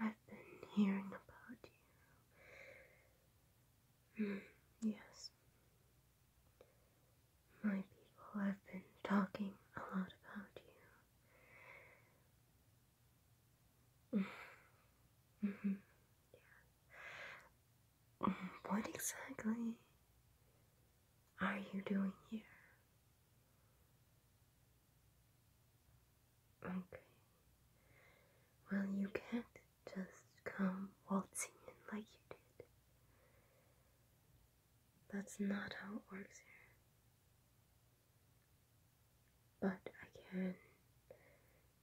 I've been hearing about you. Hmm, yes. My people have been talking a lot about you. Yeah. Mm-hmm. Mm-hmm. What exactly are you doing here? Okay. Well, you can't just come waltzing in like you did. That's not how it works here. But I can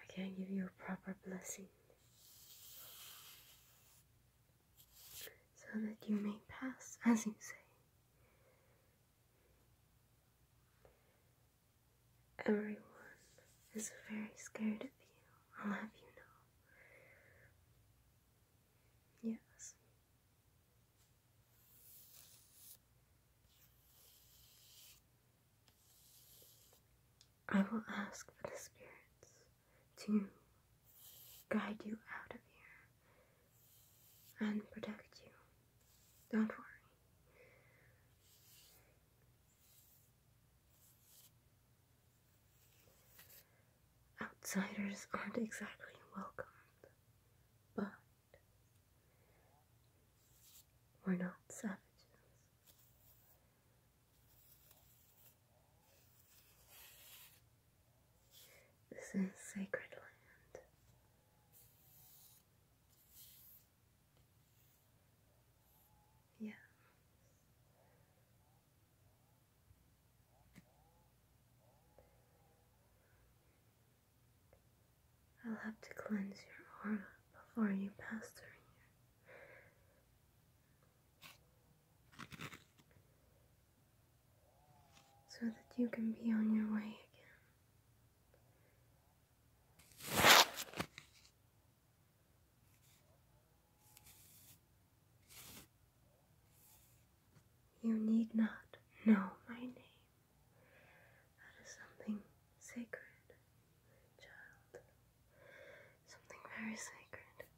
I can give you a proper blessing so that you may pass as you say. Everyone is very scared of you, I'll have you know. Yes. I will ask for the spirits to guide you out of here and protect you. Don't worry. Outsiders aren't exactly welcomed, but we're not savages. This is sacred land. Yeah. I'll have to cleanse your aura before you pass through here so that you can be on your way again. You need not know my name. That is something sacred, child. Something very sacred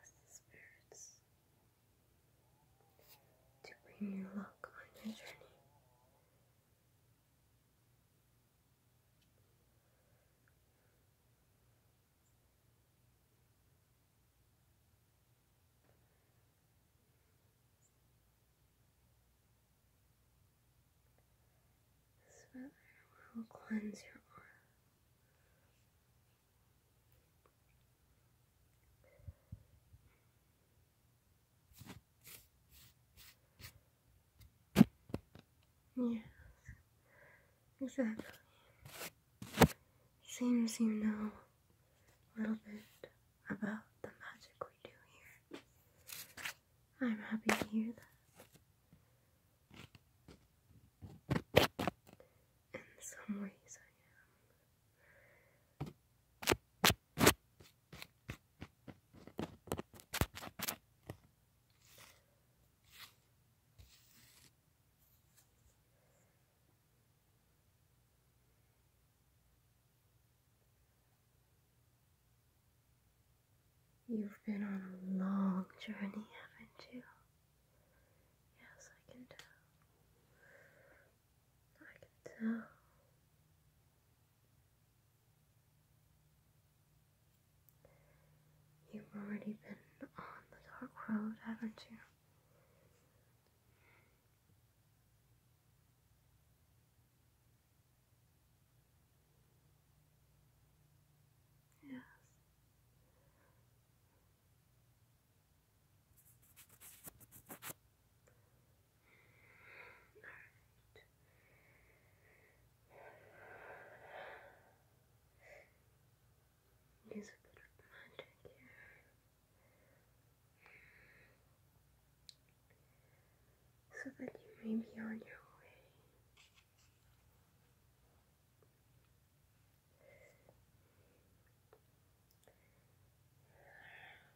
ask the spirits to bring you luck on your journey. This weather will cleanse your aura. Yes, exactly. Seems you know a little bit about the magic we do here. I'm happy to hear that. In some ways, I am. You've been on a long journey, haven't you? Yes, I can tell. I can tell. You've already been on the dark road, haven't you? Yes. Use a bit of magic here. So that you may be on your way.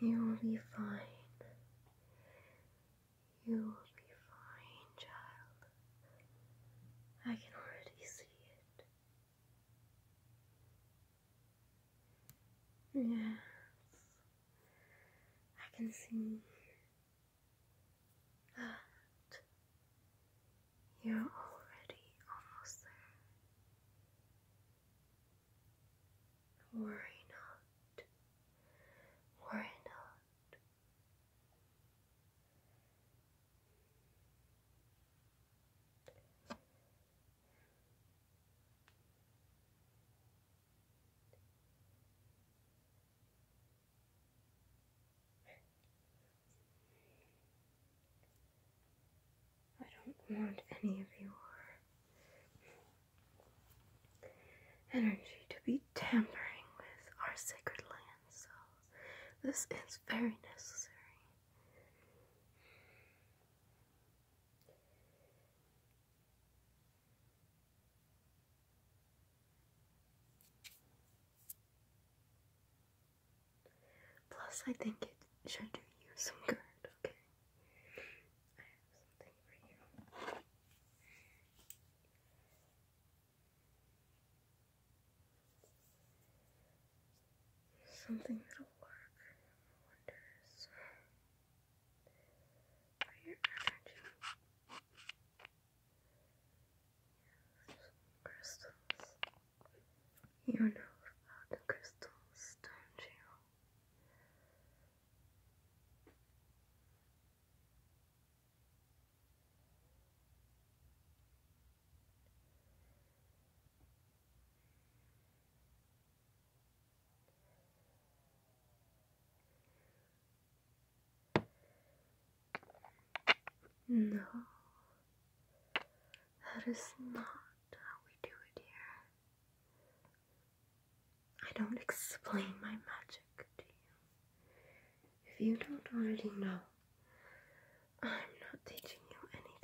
You will be fine. You will be fine, child. I can already see it. Yes, I can see you're already almost there. Worry not, worry not. I don't want any of your energy to be tampering with our sacred land, so this is very necessary. Plus, I think it should do you some good, okay? Something that'll work wonders your energy. crystals. You know about the crystals, don't you? No, that is not how we do it here. I don't explain my magic to you. If you don't already know, I'm not teaching you anything.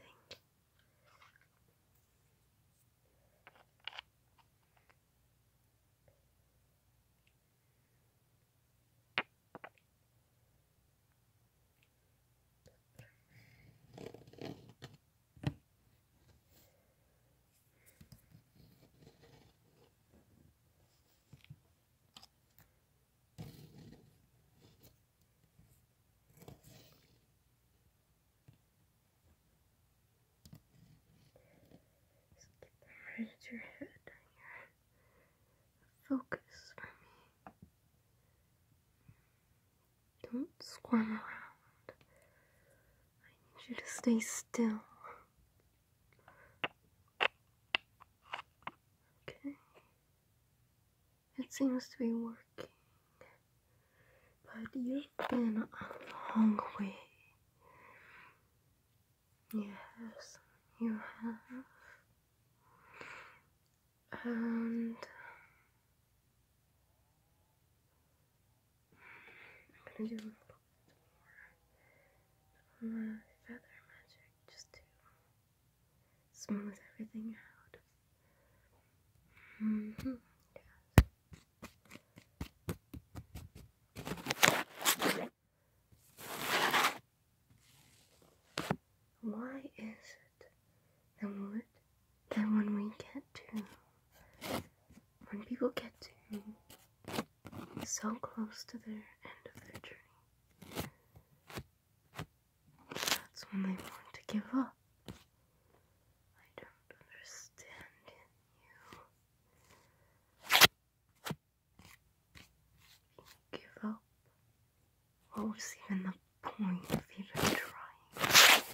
Just keep your head here. Focus for me. Don't squirm around. I need you to stay still. Okay. It seems to be working, but you've been a long way. Yes, you have. And I'm gonna do a little bit more feather magic just to smooth everything out. Mm-hmm. Why is it that that when we get to when people get to so close to their end of their journey that's when they want to give up. I don't understand in you. Give up? What was even the point of even trying?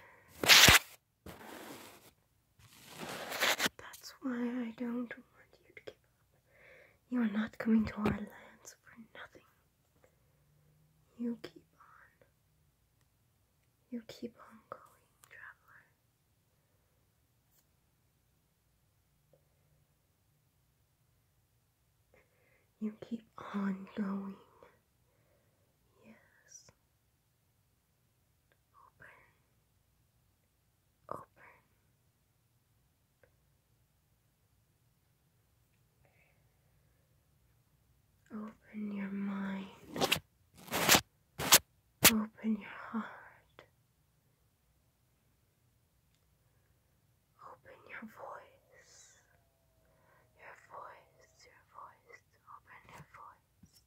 That's why I don't want you to give up. You are not coming to our lands for nothing. You keep on. You keep on going, traveler. You keep on going. Yes. Open. Open. Open your mind. Open your heart. Open your voice. Your voice, your voice. Open your voice.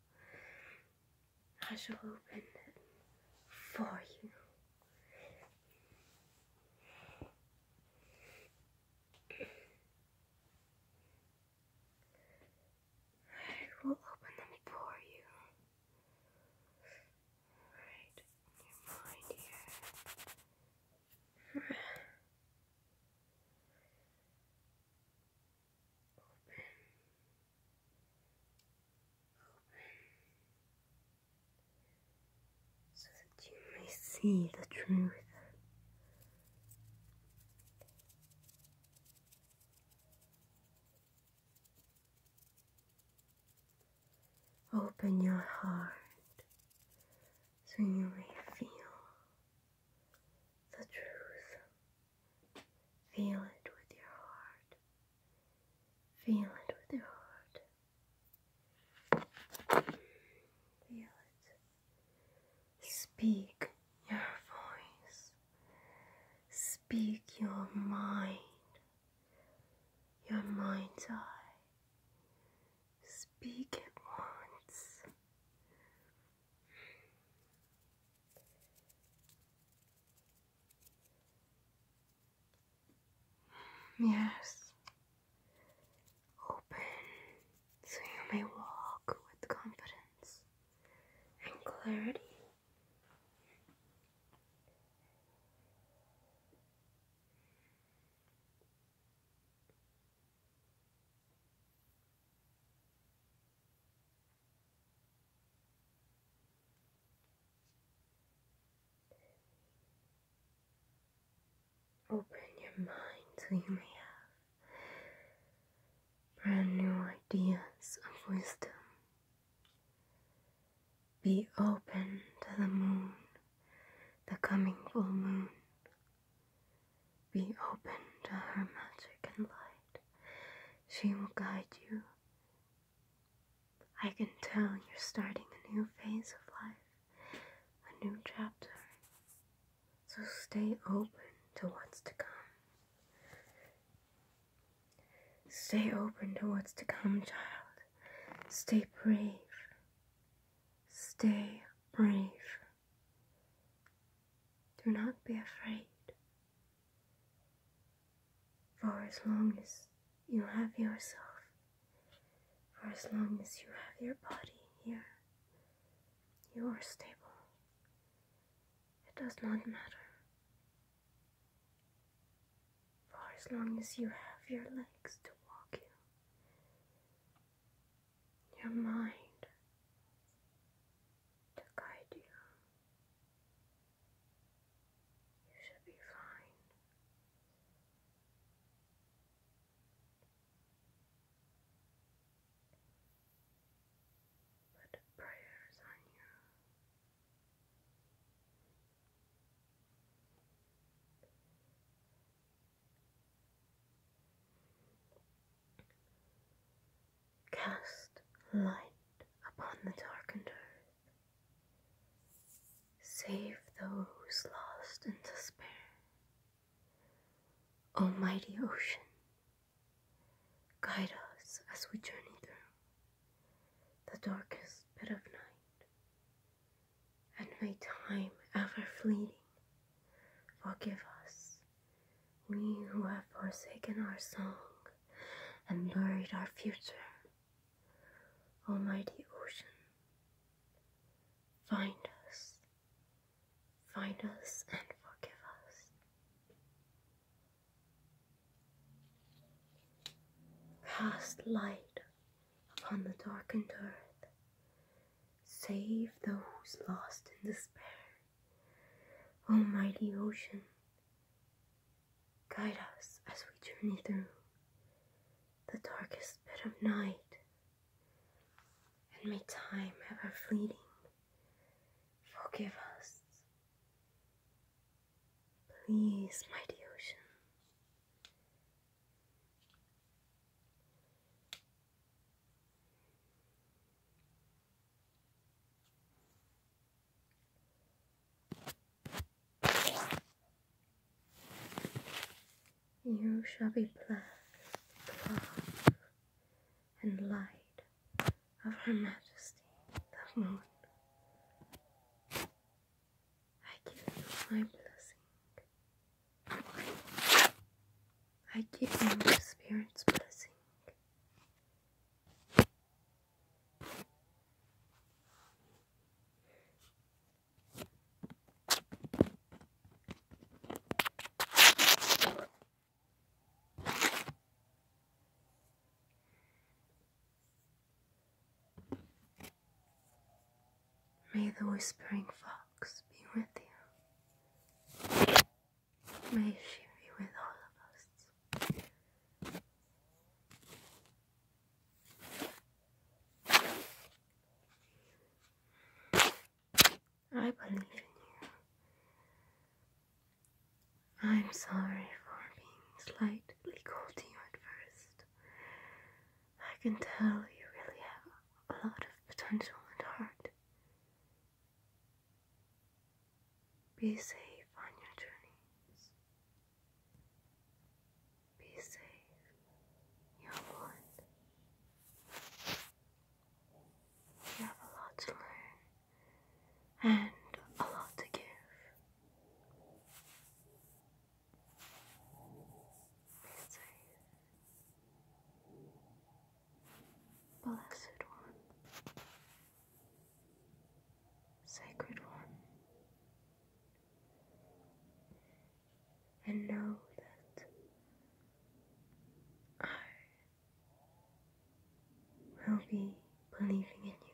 I shall open it for you. I will open them for you. Right your mind here. open open so that you may see the truth. Open your heart so you may feel the truth. Feel it with your heart. Feel it with your heart. Feel it. Speak your voice. Speak your mind. Your mind's eye. Speak it once. Yes. Open so you may walk with confidence and clarity. Open your mind to you new ideas of wisdom. Be open to the moon, the coming full moon. Be open to her magic and light. She will guide you I can tell you're starting a new phase of life, a new chapter. So stay open to what's to come. Stay open to what's to come, child. Stay brave. Stay brave. Do not be afraid. For as long as you have yourself, for as long as you have your body here, you are stable. It does not matter. For as long as you have your legs to walk you, your mind to guide you, you should be fine. But prayers on you. Cast light upon the darkened earth. Save those lost in despair. Almighty ocean, guide us as we journey through the darkest bit of night, and may time ever fleeting forgive us, we who have forsaken our song and buried our future. Almighty ocean, find us, find us and forgive us. Cast light upon the darkened earth, save those lost in despair. Almighty ocean, Guide us as we journey through the darkest bit of night, and may time, ever fleeting, forgive us. Please, mighty ocean. You shall be blessed, love, and light of Her Majesty the Moon. I give you my blessing. I give you the Spirit's blessing. May the whispering fox be with you may she be with all of us. I believe in you. I'm sorry for being slightly cold to you at first. I can tell you really have a lot of potential and heart. Be safe on your journeys. Be safe, young one. You have a lot to learn and a lot to give. Be safe. Blessed one. Sacred One, and know that I will be believing in you.